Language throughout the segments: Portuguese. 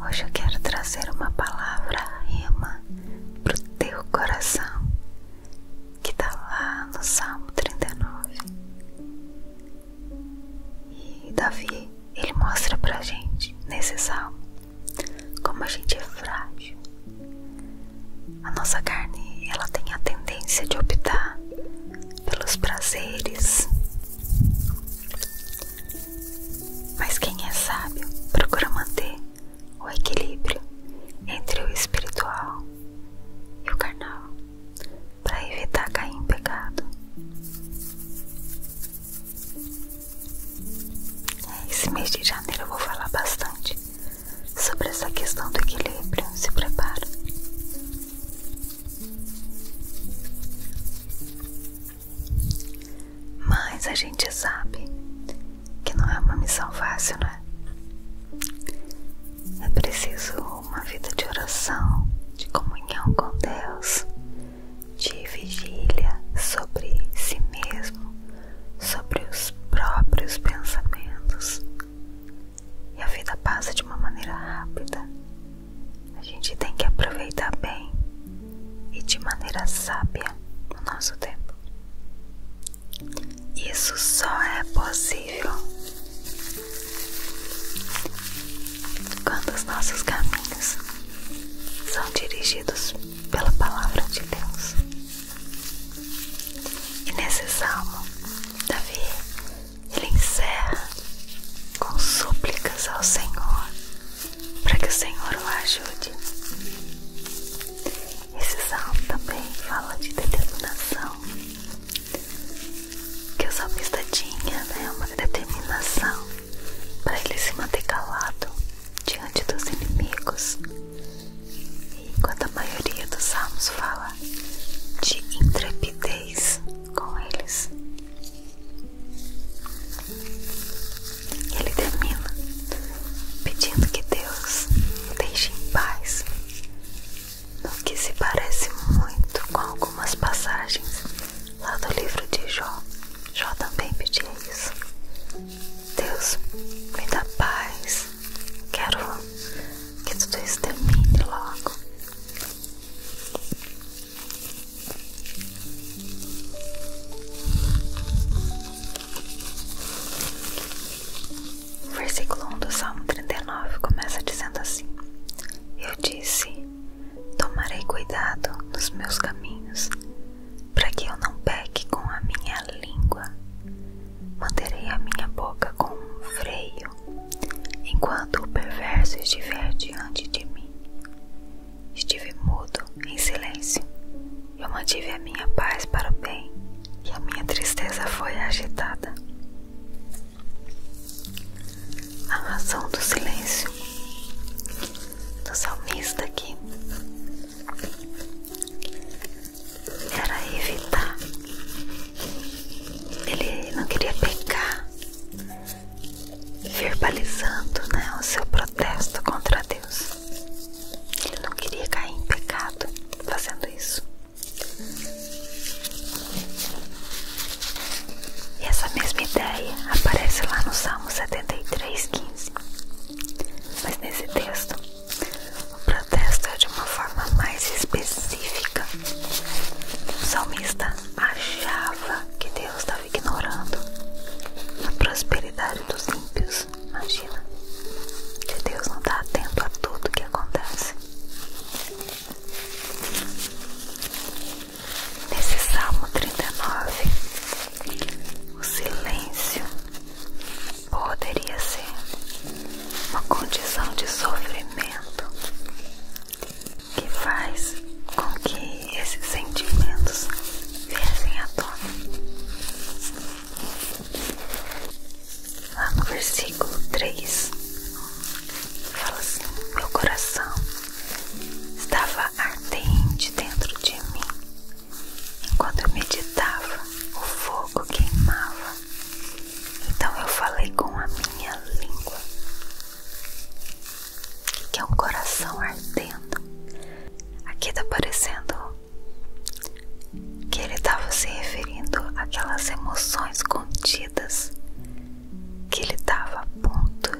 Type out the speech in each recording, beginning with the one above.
Hoje eu quero trazer uma palavra rima pro teu coração que está lá no Salmo 39. E Davi, ele mostra pra gente nesse salmo como a gente é frágil. A nossa carne, ela tem a tendência de optar pelos prazeres mas quem é sábio procura manter o equilíbrio entre o espiritual e o carnal para evitar cair em pecado. É, esse mês de janeiro eu vou falar bastante sobre essa questão do equilíbrio. Se prepara. Mas a gente sabe que não é uma missão fácil, né? É preciso uma vida de oração, de comunhão com Deus, de vigília sobre si mesmo, sobre os próprios pensamentos. E a vida passa de uma maneira rápida. A gente tem que aproveitar bem e de maneira sábia no nosso tempo. Isso só é possível quando os nossos caminhos são dirigidos pela palavra de Deus. E nesse salmo, Davi ele encerra com súplicas ao Senhor para que o Senhor o ajude. Esse salmo também fala de determinação, que o salmista tinha né, uma determinação para ele se manter calado diante dos inimigos. enquanto a maioria dos salmos fala de intrepidez com eles. Ele termina pedindo que Deus o deixe em paz, no que se parece muito com algumas passagens lá do livro de Jó. Jó também pedia isso. Deus me dá paz, quero que tudo isso termine logo versículo 1 do Salmo 39 começa dizendo assim: Eu disse: Tomarei cuidado nos meus caminhos, para que eu não peque com a minha língua. Manterei a minha boca com um freio, enquanto o perverso estiver diante de mim. Estive mudo, em silêncio. Eu mantive a minha paz para o bem e a minha tristeza foi agitada. A razão do silêncio do salmista aqui era evitar. Ele não queria pecar, verbalizando né, o seu protesto contra Deus. Ele não queria cair em pecado fazendo isso. E essa mesma ideia aparece lá no Salmo 73, 15. Mas nesse texto, o protesto é de uma forma mais específica. O salmista achava que Deus estava ignorando a prosperidade dos ímpios imagina que Deus não está atento a tudo que acontece. Nesse Salmo 39, o silêncio poderia ser uma condição de sofrimento que faz com que esses sentimentos viessem à tona. Lá no versículo 3, fala assim: Meu coração estava ardente dentro de mim, enquanto eu meditava, o fogo queimava. Então eu falei com a minha língua, que é um coração ardendo. Aqui tá parecendo que ele estava tá se referindo àquelas emoções contidas que ele estava a ponto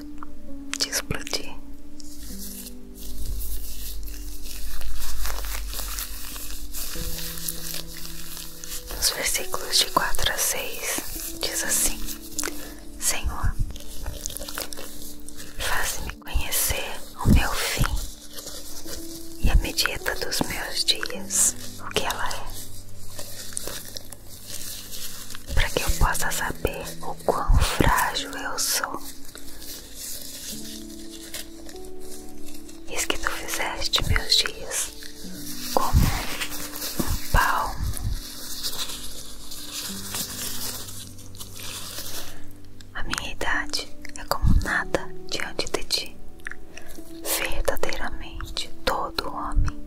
de explodir. Nos versículos de 4 a 6 diz assim: Senhor, faça. me conhecer o meu fim e a medida dos meus dias, o que ela é, para que eu possa saber o quão frágil eu sou. Eis que tu fizeste meus dias como um palmo a minha idade é como nada diante de ti. Verdadeiramente, todo homem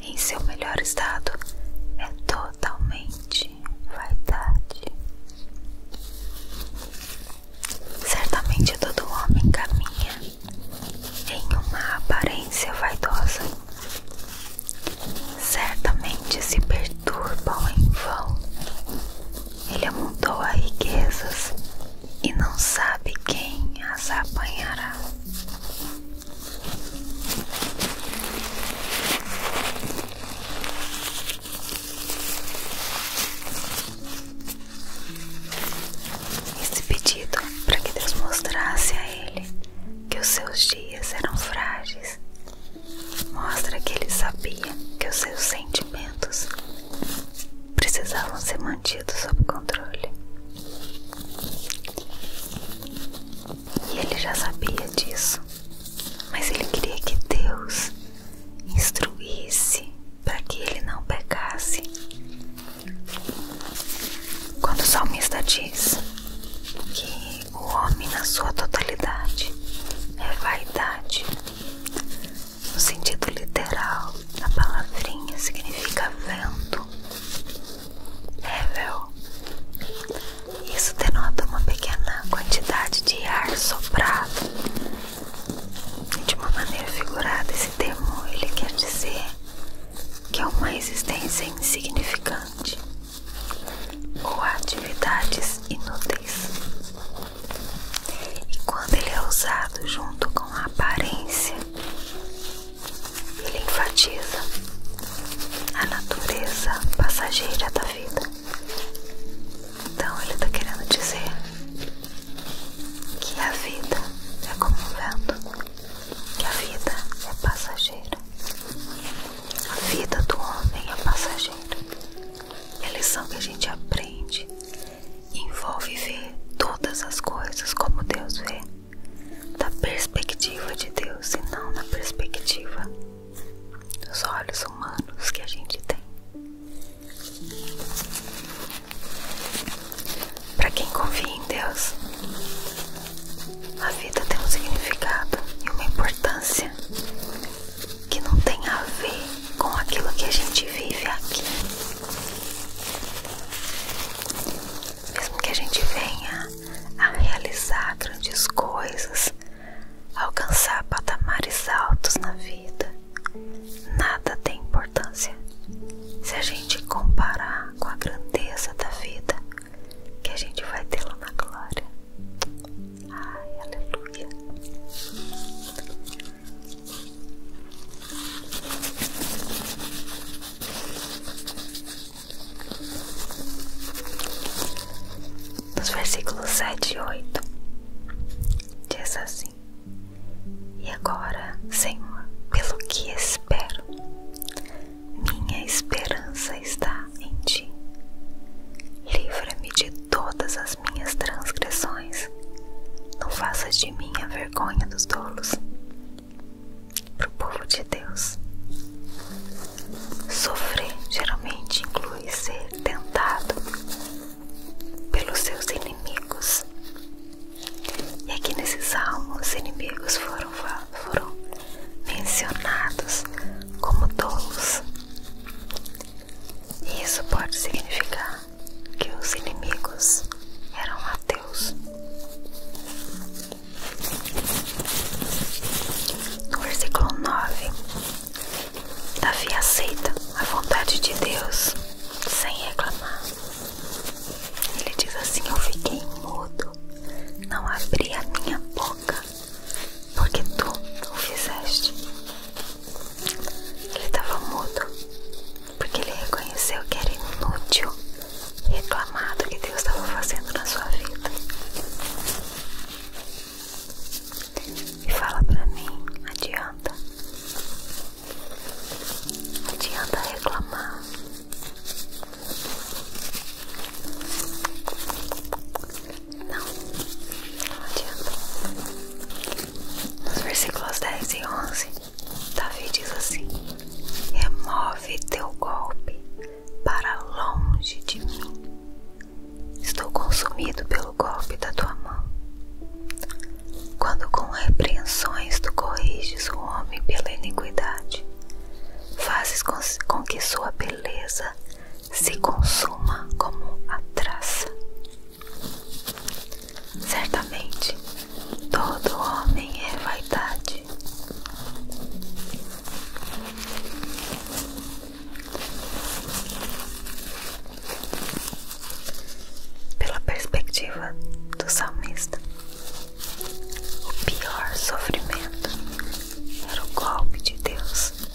em seu melhor estado é totalmente vaidade. Certamente, todo homem caminha em uma aparência vaidosa. Certamente se perturbam em vão ele amontou riquezas e não sabe quem as apanhará. Esse pedido para que Deus mostrasse a ele que os seus dias eram frágeis Mostra que ele sabia que os seus sentimentos precisavam ser mantidos sob controle. E ele já sabia disso, mas ele queria que Deus instruísse para que ele não pecasse. Quando o salmista diz que o homem na sua totalidade é vaidade. No sentido literal, a palavrinha significa vento, revel. É, Isso denota uma pequena quantidade de ar soprado. De uma maneira figurada, esse termo ele quer dizer que é uma existência insignificante ou atividades inúteis. E quando ele é usado junto com a aparência, ele enfatiza a natureza passageira da vida. Então ele está querendo dizer que a vida é como um vento, que a vida é passageira. A vida do homem é passageira. E é a lição que a gente aprende envolve ver todas as coisas como Deus vê, da perspectiva de Deus e não na perspectiva dos olhos humanos que a gente tem. Para quem confia em Deus, a vida tem um significado e uma importância que não tem a ver com aquilo que a gente vive aqui. Mesmo que a gente venha a realizar grandes coisas, alcançar patamares altos na vida, nada tem importância se a gente comparar com a grandeza da vida que a gente vai ter lá na glória. Nos versículos sete e oito diz assim: E agora, Senhor, pelo que espero, minha esperança está em ti. Livra-me de todas as minhas transgressões. Não faças de mim a vergonha dos tolos. Para o povo de Deus. Sofrer geralmente inclui ser tentado pelos seus inimigos. E aqui nesses almas inimigos foram, foram mencionados como tolos. Isso pode significar que os inimigos eram ateus. No versículo 9, Davi aceita a vontade de Deus sem reclamar. Ele diz assim: Eu fiquei mudo, não abri a minha boca, porque tu o fizeste. Ele estava mudo, porque ele reconheceu que era inútil reclamar do que Deus estava fazendo na sua vida. E fala pra mim, adianta. Adianta reclamar. Não, não adianta. Nos versículos 10 e 11, Davi diz assim: Remove teu golpe para longe de mim. Estou consumido pelo golpe da tua mão. Quando com repreensões tu corriges o homem pela iniquidade, fazes com que sua beleza se consuma como a traça. Certamente, todo homem é vaidade. Pela perspectiva do salmista, o pior sofrimento era o golpe de Deus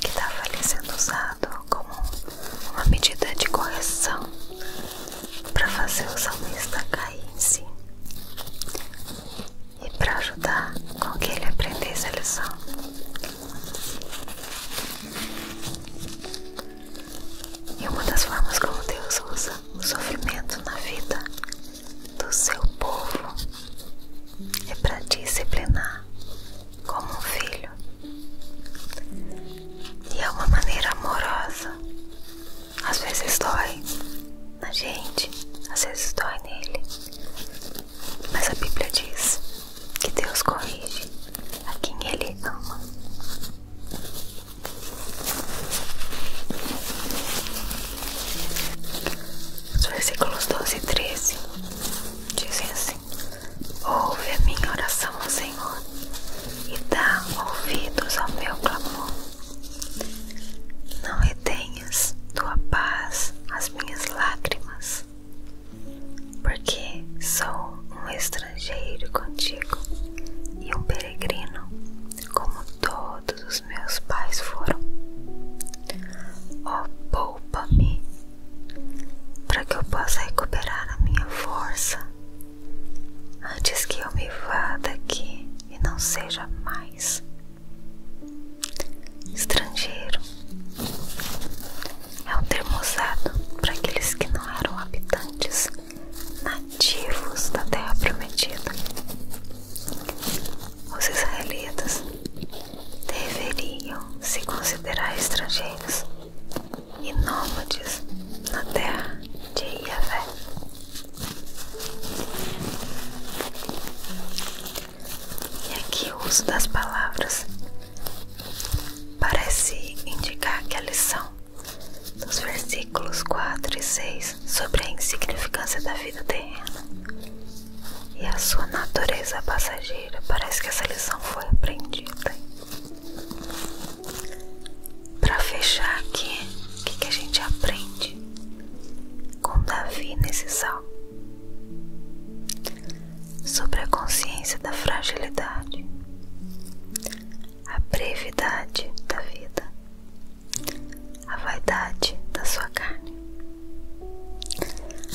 que estava tá ali sendo usado como uma medida de correção para fazer o salmista cair em si e para ajudar com que ele aprendesse a lição. E uma das formas como Deus usa o sofrimento na vida do seu povo é para disciplinar como um filho, e é uma maneira amorosa. Às vezes dói na gente, às vezes dói nele, mas a Bíblia diz que Deus corrige a quem Ele ama. Os versículos 12 e 13 dizem assim: Ouve a minha oração, Senhor, e dá ouvidos ao meu clamor. Não retenhas tua paz às minhas lágrimas, porque sou um estrangeiro contigo e um peregrino, como todos os meus pais foram. Oh, poupa-me para que eu possa recuperar a minha força antes que eu me vá daqui e não seja mais estrangeiro. É um termo usado para aqueles que não eram habitantes nativos da Terra Prometida. Os israelitas deveriam se considerar estrangeiros e nômades na terra de Iavé. E aqui o uso das palavras parece indicar que a lição dos versículos 4 e 6 sobre a insignificância da vida terrena e a sua natureza passageira. Parece que essa lição foi aprendida. Para fechar aqui, o que, que a gente aprende com Davi nesse sal Sobre a consciência da fragilidade, a brevidade da vida, a vaidade da sua carne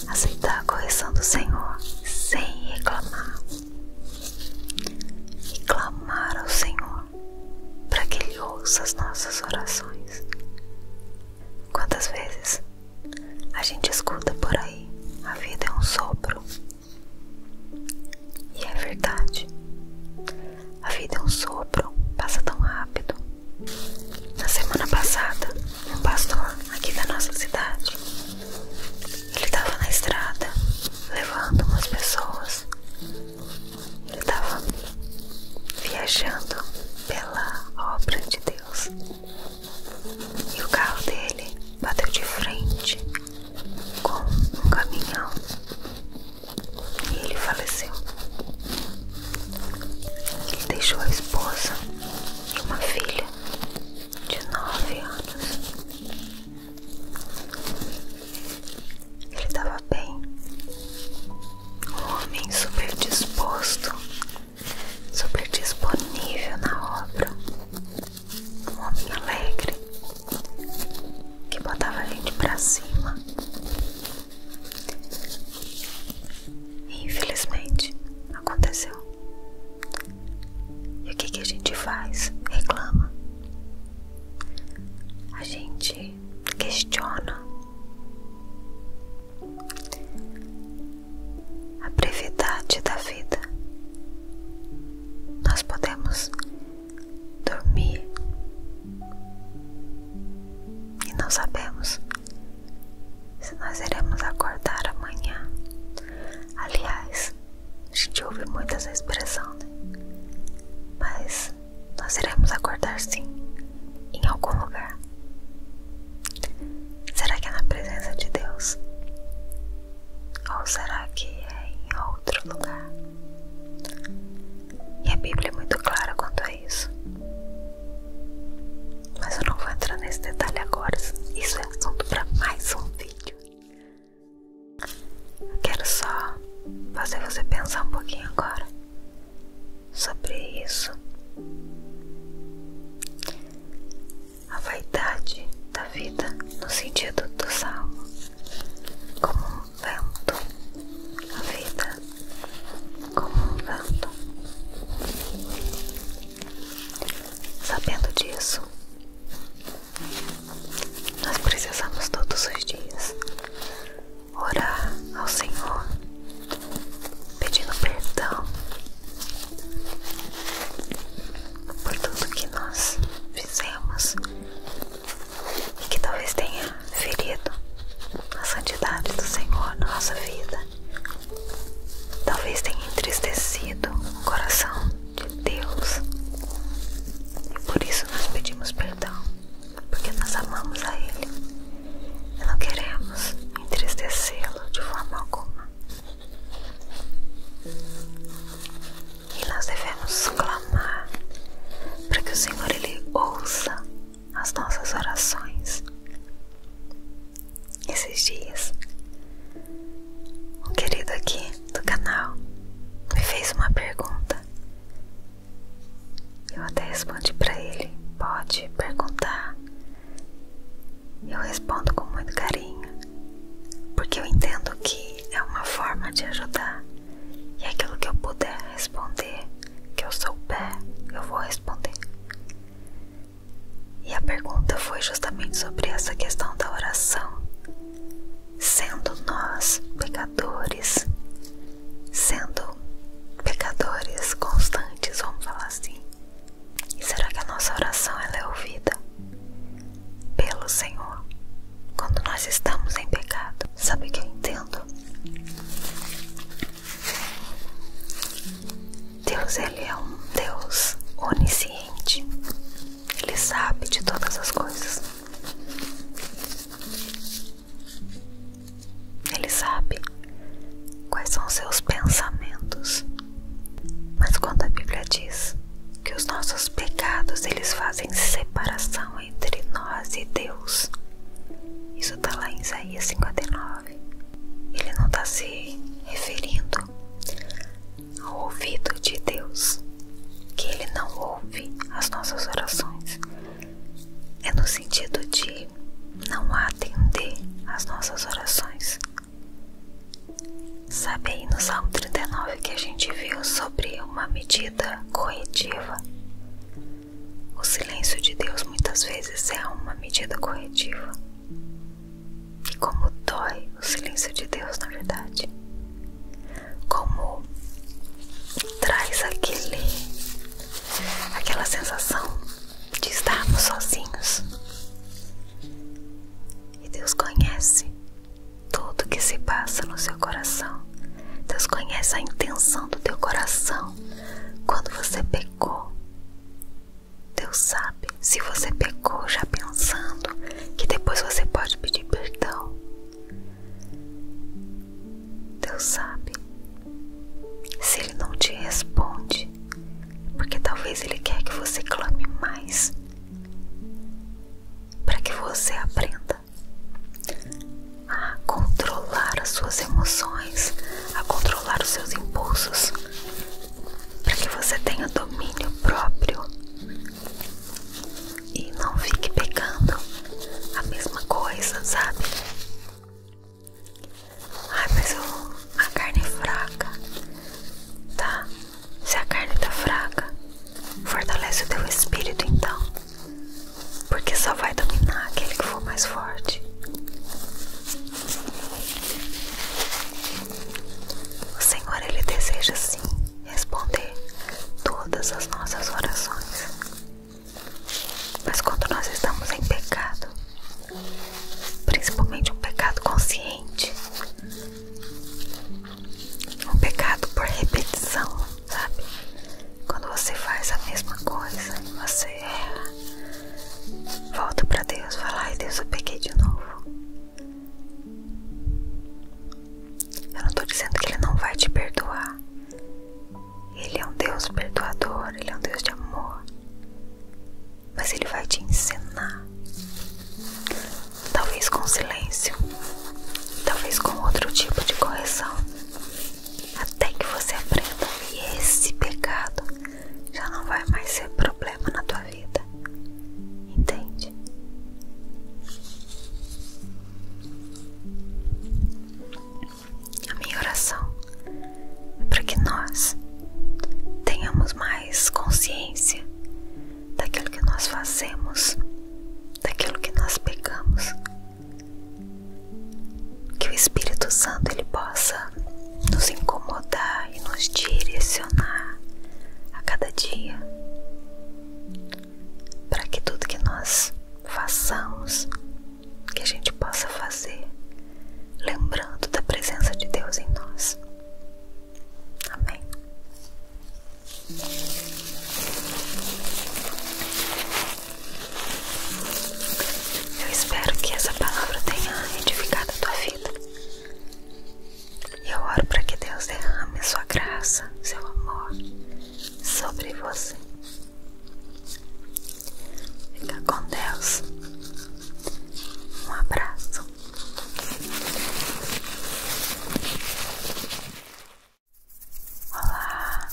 aceitar a correção do Senhor sem reclamar e clamar ao Senhor para que Ele ouça as nossas orações. Quantas vezes a gente escuta por aí a vida é um sopro e é verdade, a vida é um sopro, passa tão rápido. Na semana passada, um pastor aqui da nossa cidade ele estava na estrada levando umas pessoas. Ele estava viajando pela obra de Deus. E o carro dele bateu de frente com um caminhão. E ele faleceu. Ele deixou a esposa e uma filha de nove anos. Ele estava bem, um homem super disposto, super disponível na obra, um homem alegre que botava a gente pra cima. Infelizmente, aconteceu. E o que, a gente faz? Reclama. A gente questiona. A brevidade da vida. Nós podemos dormir e não sabemos se nós iremos acordar amanhã. Aliás, a gente ouve muito essa expressão, né? Mas nós iremos acordar sim, em algum lugar. Será que é na presença de Deus? Ou será que é em outro lugar? E a Bíblia é muito clara quanto a isso. Mas eu não vou entrar nesse detalhe agora. Isso é assunto para mais um vídeo. Eu quero só fazer você pensar um pouquinho agora sobre isso. A vaidade da vida, no sentido do salmo, como um vento. A vida, como um vento. Sabendo disso, nós precisamos todos os dias orar ao Senhor, pedindo perdão por tudo que nós fizemos e que talvez tenha ferido a santidade do Senhor na nossa vida. Talvez tenha entristecido o coração de Deus. E por isso nós pedimos perdão, porque nós amamos a Ele. E não queremos entristecê-lo de forma alguma. E nós devemos clamar para que o Senhor Ele ouça as nossas orações esses dias, um querido aqui do canal me fez uma pergunta. Eu até respondi para ele: pode perguntar. Eu respondo com muito carinho, porque eu entendo que é uma forma de ajudar. E aquilo que eu puder responder, que eu souber, eu vou responder. E a pergunta foi justamente sobre essa questão da oração. Sendo nós pecadores, sendo pecadores constantes, vamos falar assim, será que a nossa oração ela é ouvida pelo Senhor quando nós estamos em pecado? Sabe o que eu entendo? Deus ele é um Deus onisciente. Ele sabe de todas as coisas. Ele sabe quais são os seus pensamentos. Mas quando a Bíblia diz que os nossos pecados eles fazem separação entre nós e Deus, isso está lá em Isaías 59. Ele não está se referindo outro ao ouvido de Deus, que Ele não ouve as nossas orações, é no sentido de não atender às nossas orações. Sabe aí no Salmo 39 que a gente viu sobre uma medida corretiva? O silêncio de Deus muitas vezes é uma medida corretiva. E como dói o silêncio de Deus, na verdade. Como traz aquele aquela sensação de estarmos sozinhos. E Deus conhece tudo que se passa no seu coração. Deus conhece a intenção do teu coração quando você pecou. Deus sabe se você pecou já pensando que depois você pode pedir perdão. Deus sabe se Ele não te responde, porque talvez Ele quer que você clame mais para que você aprenda a controlar as suas emoções, a controlar os seus impulsos, para que você tenha domínio próprio e não fique pegando a mesma coisa, sabe? Ai, mas eu, a carne é fraca, tá? Se a carne tá fraca, fortalece o teu espírito então, porque só vai dominar aquele que for mais forte. O Senhor, Ele deseja sim responder todas as nossas orações. Mas quando nós estamos em pecado, principalmente um pecado consciente, um pecado por repetição, sabe? Quando você faz a mesma coisa, e você erra, volta para Deus, fala, ai Deus, eu peguei de novo. Eu não tô dizendo que ele não vai te perdoar. Ele é um Deus perdoador, ele é um Deus de amor. Mas ele vai te ensinar. Talvez com silêncio, talvez com outro tipo de correção. Até que você aprenda que esse pecado já não vai mais ser problema na tua vida vida, entende? A minha oração é para que nós tenhamos mais consciência daquilo que nós fazemos, daquilo que nós pegamos, que o Espírito Santo ele possa nos incomodar e nos direcionar a cada dia, para que tudo que nós façamos, que a gente possa fazer, lembrando da presença de Deus em nós. Amém. Eu espero que essa palavra tenha edificado a tua vida. Eu oro para que Deus derrame sua graça, seu amor sobre você. Fica com Deus. Um abraço. Olá.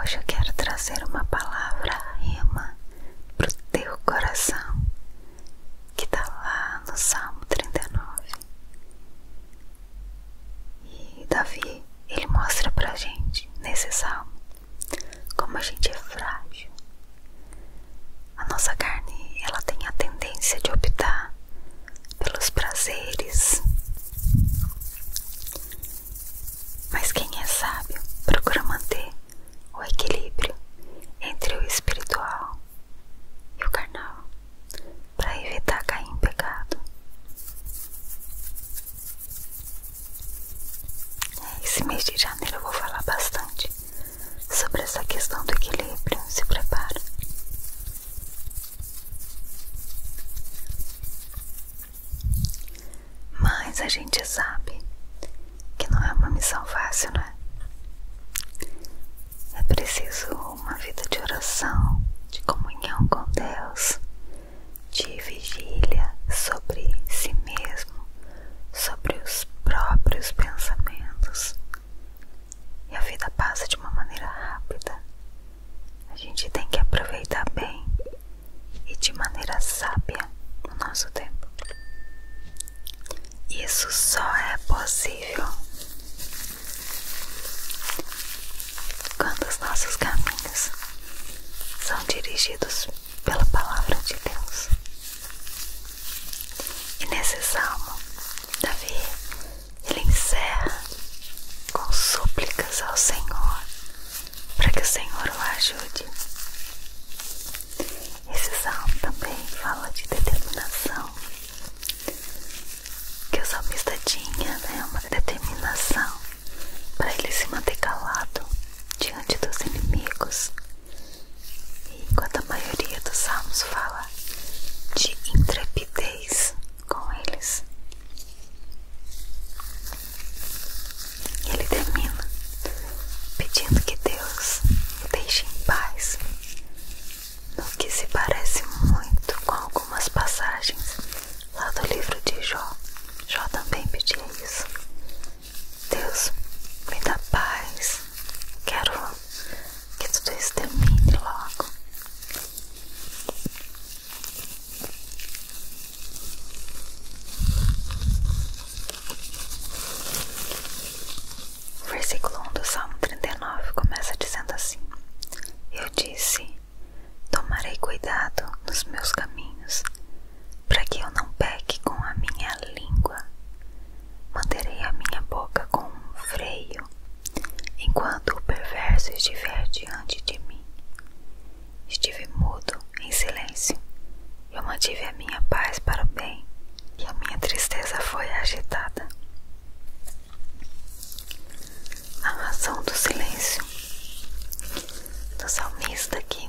Hoje eu quero trazer uma palavra rima pro teu coração que tá lá no Salmo 39. E Davi, ele mostra pra gente nesse salmo como a gente é frágil. A nossa carne, ela tem a tendência de optar pelos prazeres. Mas quem é sábio procura manter o equilíbrio entre o espiritual e o carnal para evitar cair em pecado. É, esse mês de janeiro eu vou falar bastante sobre essa questão do equilíbrio. Se prepara. Mas a gente sabe que não é uma missão fácil, né? É preciso uma vida de oração, de comunhão com Deus, de vigília sobre si mesmo, sobre os próprios pensamentos, e a vida passa de uma maneira rápida. A gente tem que aproveitar bem e de maneira sábia o nosso tempo. Isso só é possível quando os nossos caminhos são dirigidos pela palavra de Deus. E nesse salmo, Davi, ele encerra com súplicas ao Senhor para que o Senhor o ajude. Esse salmo também fala de determinação que o salmista tinha, né? Uma determinação para ele se manter calado diante dos inimigos enquanto a maioria dos salmos fala de intrepidez com eles. ele termina pedindo que Deus o deixe em paz, no que se parece muito com algumas passagens lá do livro de Jó. Jó também pedia isso. Deus me dá paz, quero que tudo isso termine logo. O versículo 1 do Salmo 39 começa dizendo assim: Eu disse, tomarei cuidado nos meus caminhos, para que eu não peque com a minha língua manterei a minha boca com um freio, enquanto o perverso estiver diante de mim. Estive mudo, em silêncio. Eu mantive a minha paz para o bem, e a minha tristeza foi agitada. A razão do silêncio do salmista aqui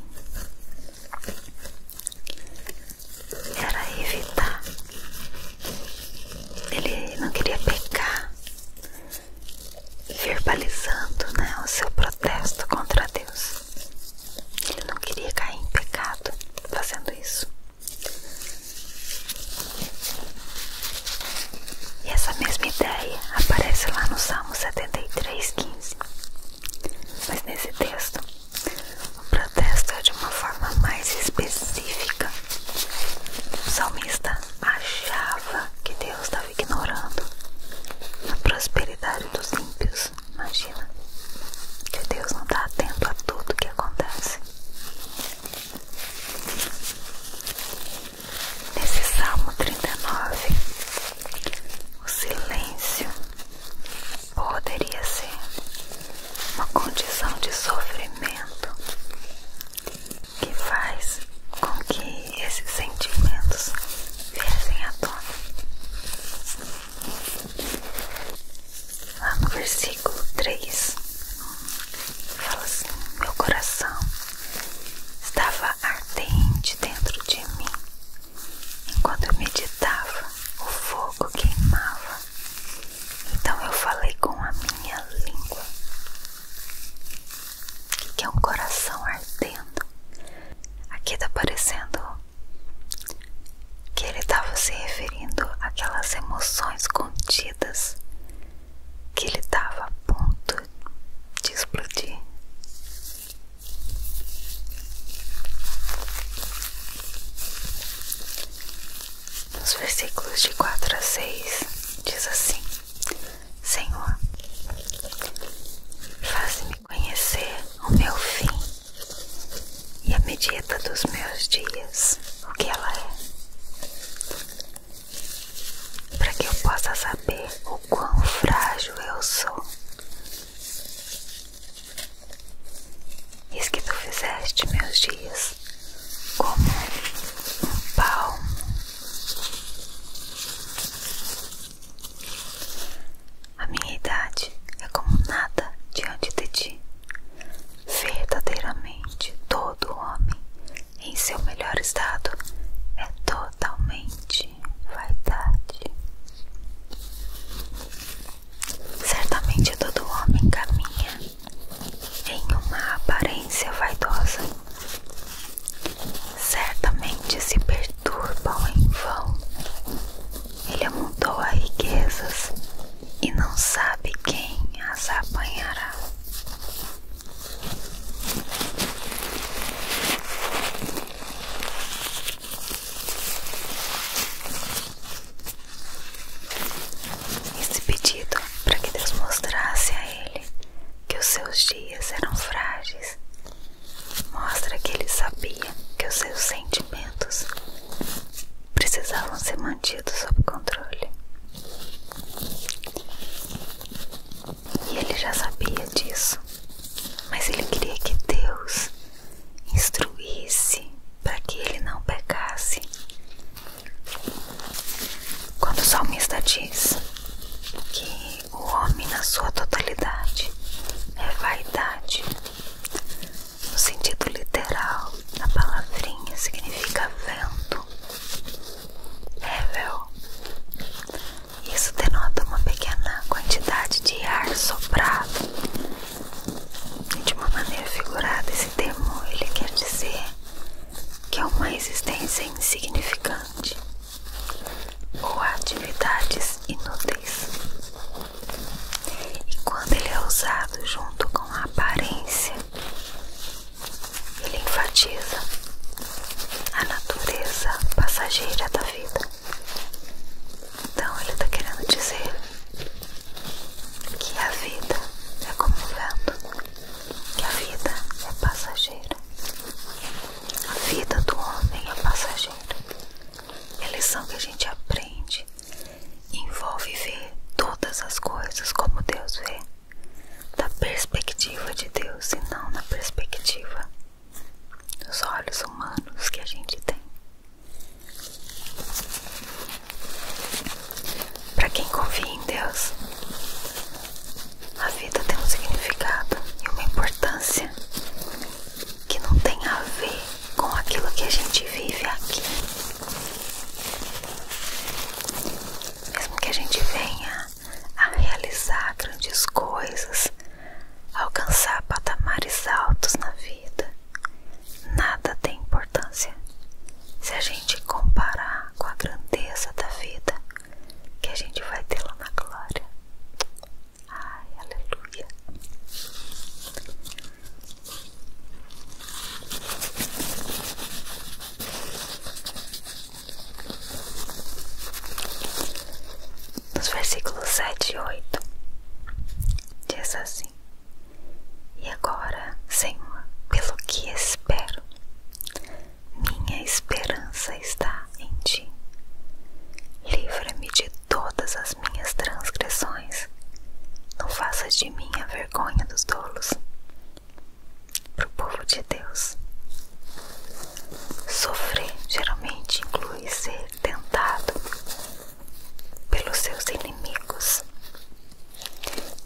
era evitar. Ele não queria pecar, verbalizando né, o seu protesto contra Deus. Ele não queria cair em pecado fazendo isso. E essa mesma ideia aparece lá no Salmo 73, 15. Mas nesse texto, o protesto é de uma forma mais específica. O salmista achava que Deus estava ignorando a prosperidade dos ímpios. Imagina que Deus não está atento a tudo que acontece. Nesse Salmo 39, o silêncio poderia ser uma condição de sofrimento que faz com que esses sentimentos viessem à tona. Lá no versículo 3 fala assim: Meu coração estava ardente dentro de mim enquanto eu meditava, o fogo queimava então eu falei com a minha língua, que é um coração ardendo. Aqui tá parecendo que ele estava se referindo àquelas emoções contidas que ele estava a ponto de explodir. Nos versículos de 4 a 6 diz assim: Senhor, faça me conhecer o meu fim e a medida dos meus dias, o que ela é, para que eu possa saber o quão frágil eu sou. Eis que tu fizeste meus dias como um palmo. A minha idade é como nada diante de ti. Verdadeiramente, todo homem em seu melhor estado é totalmente vaidade. Certamente todo homem caminha em uma aparência vaidosa, certamente se perturbam em vão. Ele amontoa riquezas e não sabe quem as apanhará. Esse pedido para que Deus mostrasse a ele que os seus dias eram frágeis mostra que ele sabia que os seus sentimentos precisavam ser mantidos sob controle. E ele já sabia disso, mas ele queria que Deus instruísse para que ele não pecasse quando o salmista diz que o homem, na sua totalidade, é vaidade, no sentido literal, a palavrinha significa vento, nével. Isso denota uma pequena quantidade de ar soprado. de uma maneira figurada, esse termo ele quer dizer que é uma existência insignificante ou atividades inúteis. E quando ele é usado junto com a aparência, ele enfatiza a natureza passageira da vida. Então ele está querendo dizer que a vida é como um vento que a vida é passageira. A vida do homem é passageira. E é a lição que a gente aprende envolve ver todas as coisas como Deus vê, da perspectiva de Deus e não na perspectiva dos olhos humanos que a gente tem. Para quem confia em Deus, a vida tem um significado e uma importância que não tem a ver com aquilo que a gente vive aqui. Mesmo que a gente venha a realizar grandes coisas, alcançar patamares altos na vida, nada tem importância se a gente comparar com a grandeza da vida que a gente vai ter lá na glória. Ai, aleluia. Nos versículos 7 e 8 diz assim: e agora, Senhor, pelo que espero, minha esperança está em ti. Livra-me de todas as minhas transgressões. Não faças de mim a vergonha dos tolos. Para o povo de Deus, sofrer geralmente inclui ser tentado pelos seus inimigos. É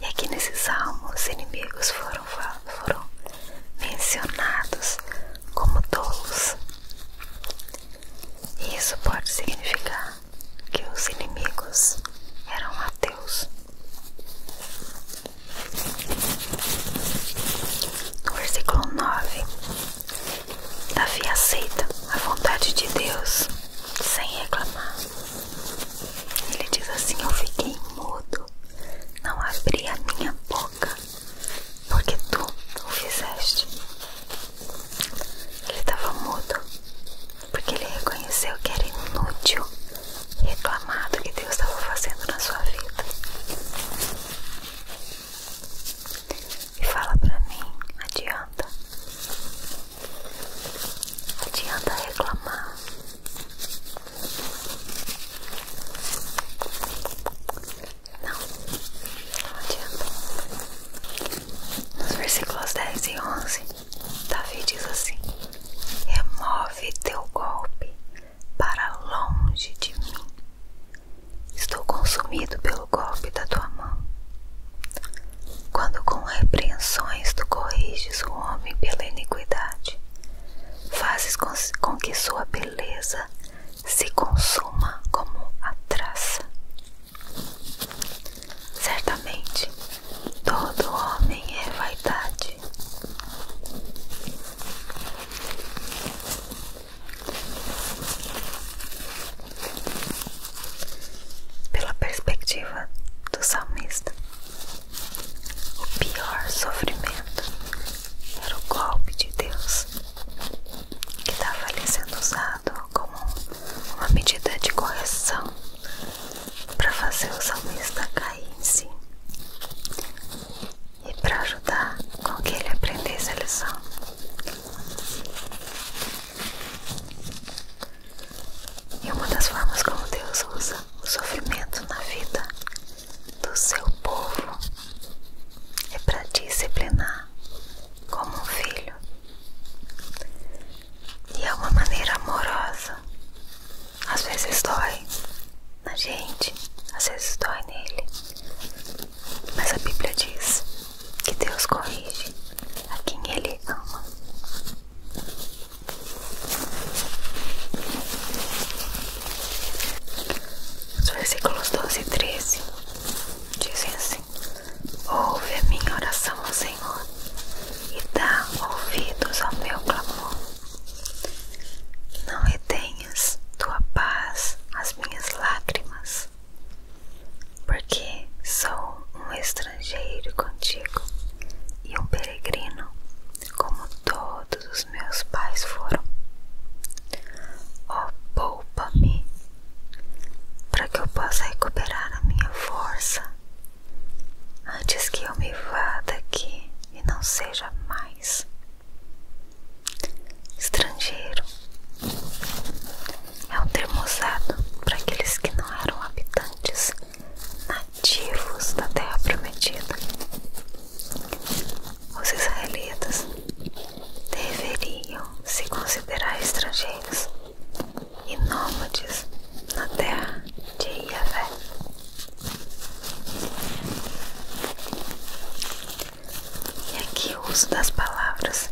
e aqui nesses salmo, os inimigos foram, foram mencionados como tolos. E isso pode significar que os inimigos eram ateus. No versículo 9, Davi aceita a vontade de Deus sem reclamar. Ele diz assim: Eu fiquei mudo, não abri a minha boca, porque tu o fizeste. Ele estava mudo, porque ele reconheceu que era inútil reclamar do que Deus estava fazendo na sua vida. E fala pra mim: Adianta. Adianta reclamar. Não, não adianta. Nos versículos 10 e 11, Davi diz assim: Remove teu golpe para longe de mim. Estou consumido pelo golpe da tua mão quando com repreensões tu corriges o homem pela iniquidade, fazes com que sua beleza se consuma como a traça. Certamente, todo homem é vaidade. Pela perspectiva do salmista. O pior sofrimento era o golpe de Deus, que estava ali sendo usado como uma medida de correção para fazer o salmista cair em si e para ajudar com que ele aprendesse a lição. E uma das formas como Deus usa o sofrimento na vida do seu povo é para disciplinar como um filho. E é uma maneira amorosa. Às vezes dói na gente, às vezes dói nele. Mas a Bíblia diz que Deus corrige a quem ele ama. Os versículos 12 e 13 dizem assim: Ouve a minha oração Senhor e dá ouvidos ao meu clamor. Não retenhas tua paz às minhas lágrimas, porque sou um estrangeiro contigo e um peregrino, como todos os meus pais foram. Oh, poupa-me, para que eu possa recuperar a minha força, antes que eu me vá daqui e não seja mais. Estrangeiro é um termo usado para aqueles que não eram habitantes nativos da Terra Prometida. Os israelitas deveriam se considerar estrangeiros e nômades na terra de Iavé. E aqui o uso das palavras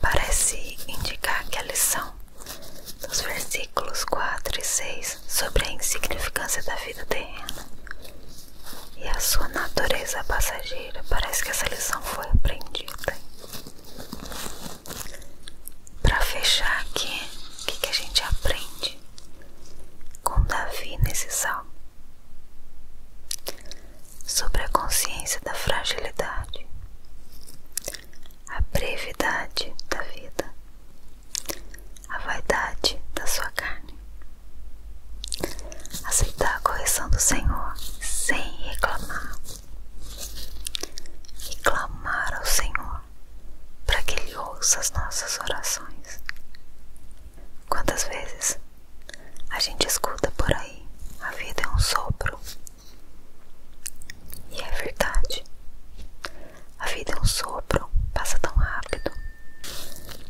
parece indicar que a lição nos versículos 4 e 6 sobre a insignificância da vida terrena e a sua natureza passageira. Parece que essa lição foi aprendida. Para fechar aqui, o que, que a gente aprende com Davi nesse salmo? Sobre a consciência da fragilidade, a brevidade da vida a vaidade da sua carne. Aceitar a correção do Senhor sem reclamar. E clamar ao Senhor para que Ele ouça as nossas orações. Quantas vezes a gente escuta por aí: a vida é um sopro. E é verdade. A vida é um sopro, passa tão rápido.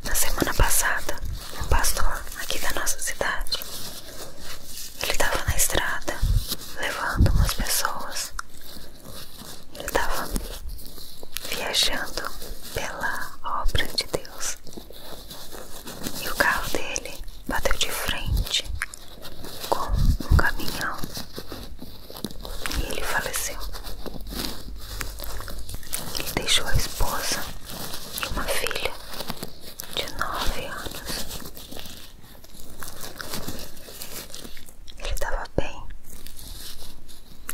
Na semana passada, um pastor aqui da nossa cidade, ele estava na estrada levando umas pessoas. Ele estava viajando pela obra de Deus. E o carro dele bateu de frente com um caminhão e ele faleceu. Ele deixou a esposa e uma filha de nove anos. Ele estava bem,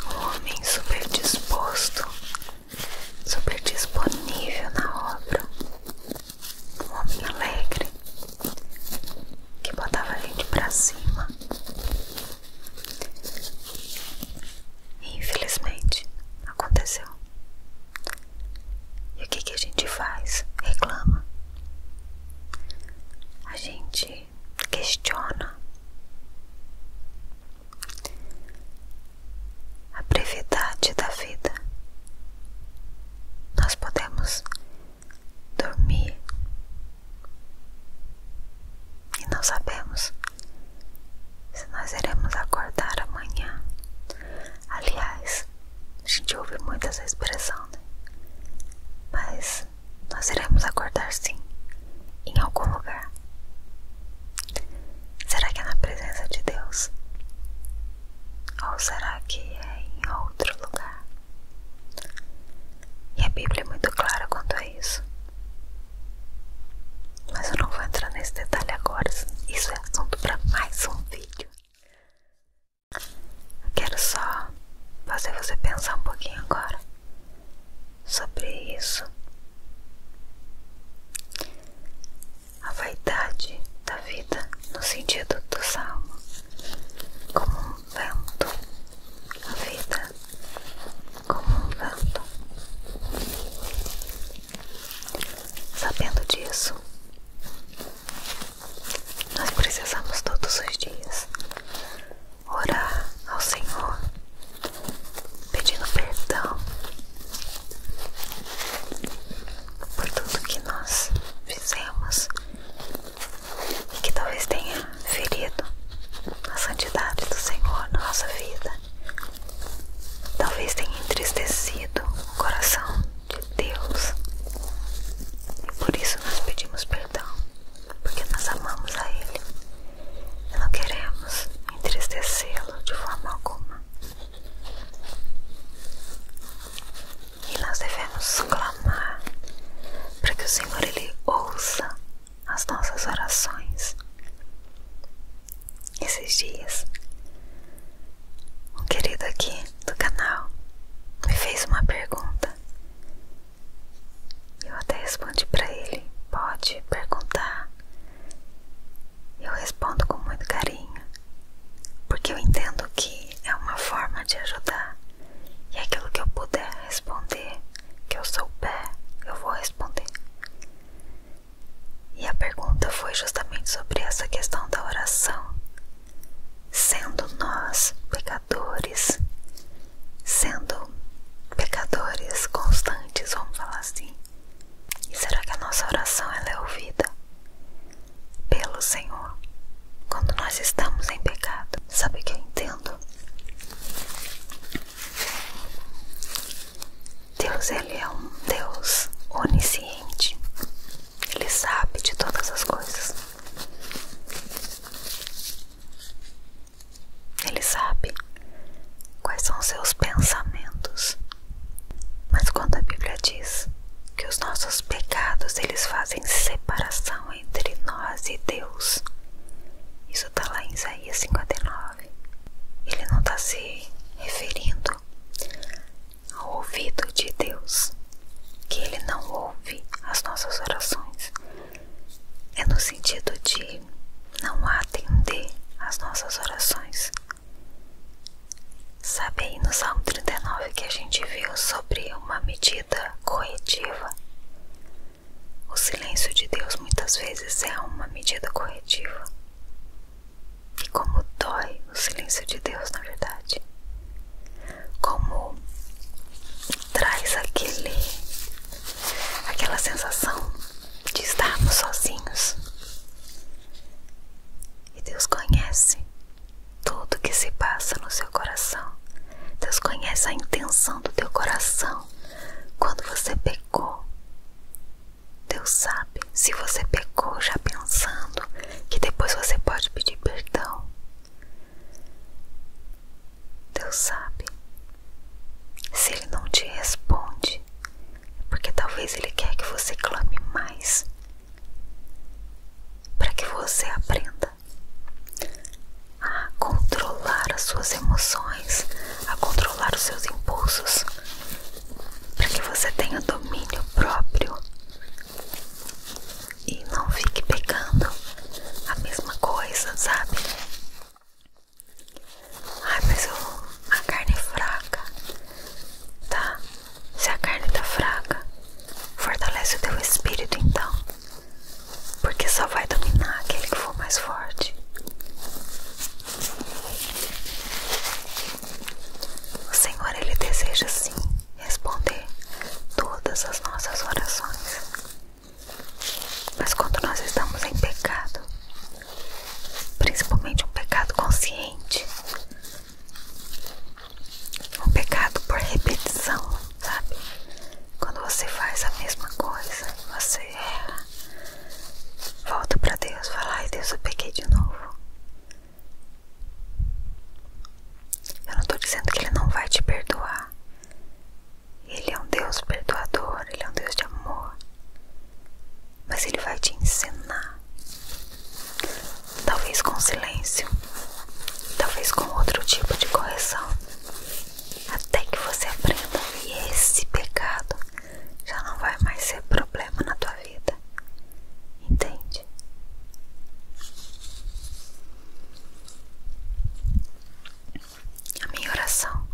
um homem super disposto, super disponível na obra, um homem alegre, que botava a gente pra cima. E infelizmente aconteceu. E o que, que a gente faz? Reclama. A gente questiona. A brevidade da vida. Nós podemos dormir e não sabemos se nós iremos acordar amanhã. Aliás, a gente ouve muito essa expressão, né? Mas nós iremos acordar sim, em algum lugar. Será que é na presença de Deus? Ou será que é em outro lugar? E a Bíblia é muito clara quanto a isso. Mas eu não vou entrar nesse detalhe agora, isso é assunto para mais um vídeo. Eu quero só fazer você pensar um pouquinho agora sobre isso. A vaidade da vida, no sentido do salmo, como um vento, a vida como um vento. Sabendo disso, nós precisamos todos os dias orar ao Senhor, pedindo perdão por tudo que nós fizemos e que talvez tenha ferido a santidade do Senhor na nossa vida, talvez tenha entristecido o coração de Deus e por isso nós pedimos perdão, porque nós amamos a Ele e não queremos entristecê-lo de forma alguma. E nós devemos clamar para que o Senhor ele ouça as nossas orações. Esses dias, um querido aqui do canal me fez uma pergunta. Eu até respondi para ele: pode perguntar. Eu respondo com muito carinho, porque eu entendo que é uma forma de ajudar. E é aquilo que eu puder responder, que eu souber, eu vou responder. E a pergunta foi justamente sobre essa questão da oração. Sendo nós pecadores, sendo pecadores constantes, vamos falar assim, será que a nossa oração ela é ouvida pelo Senhor? quando nós estamos em pecado. Sabe o que eu entendo? Deus, Ele é um Deus onisciente. Ele sabe de todas as coisas. Ele sabe quais são seus pensamentos. Mas quando a Bíblia diz que os nossos pecados eles fazem separação entre nós e Deus. Isso está lá em Isaías 59. Ele não está se referindo ao ouvido de Deus, que ele não ouve as nossas orações. É no sentido de não atender às nossas orações. Sabe aí no Salmo 39 que a gente viu sobre uma medida corretiva? O silêncio de Deus muitas vezes é uma medida corretiva. E como dói o silêncio de Deus, na verdade. Como traz aquele aquela sensação de estarmos sozinhos. E Deus conhece tudo o que se passa no seu coração Deus conhece a intenção do teu coração. Quando você pecou, Deus sabe se você pecou já pensando que depois você pode pedir perdão. Deus sabe. Se Ele não te responde, é porque talvez Ele quer que você clame mais para que você aprenda a controlar as suas emoções, a controlar os seus impulsos, para que você tenha domínio próprio e não fique pegando a mesma coisa, sabe? Ai, mas eu, a carne é fraca, tá? Se a carne tá fraca, fortalece o teu espírito então. Porque só vai dominar aquele que for mais forte. O Senhor, Ele deseja sim responder todas as nossas orações. Mas quando nós estamos em pecado, principalmente um pecado consciente, um pecado por repetição, sabe? Quando você faz a mesma coisa, você erra. Volta para Deus, fala, ai Deus, eu peguei de novo. Eu não tô dizendo que ele não vai te perdoar. Ele é um Deus perdoador, ele é um Deus de amor. Mas ele vai te ensinar. Talvez com silêncio, talvez com outro tipo de correção até que você aprenda e esse pecado já não vai mais ser problema na tua vida. Entende? A minha oração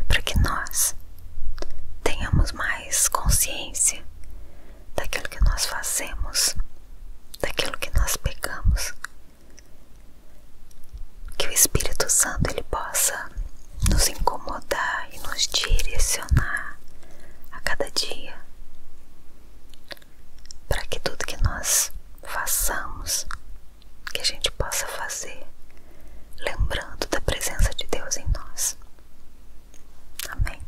é para que nós tenhamos mais consciência daquilo que nós fazemos, daquilo que nós pecamos que o Espírito Santo ele possa nos incomodar e nos direcionar a cada dia, para que tudo que nós façamos, que a gente possa fazer, lembrando da presença de Deus em nós. Amém.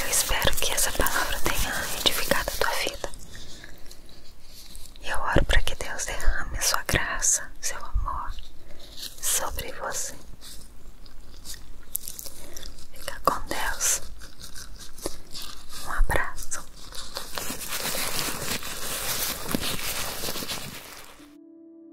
Eu espero que essa palavra tenha edificado a tua vida. E eu oro para que Deus derrame sua graça, seu amor sobre você. Fica com Deus. Um abraço.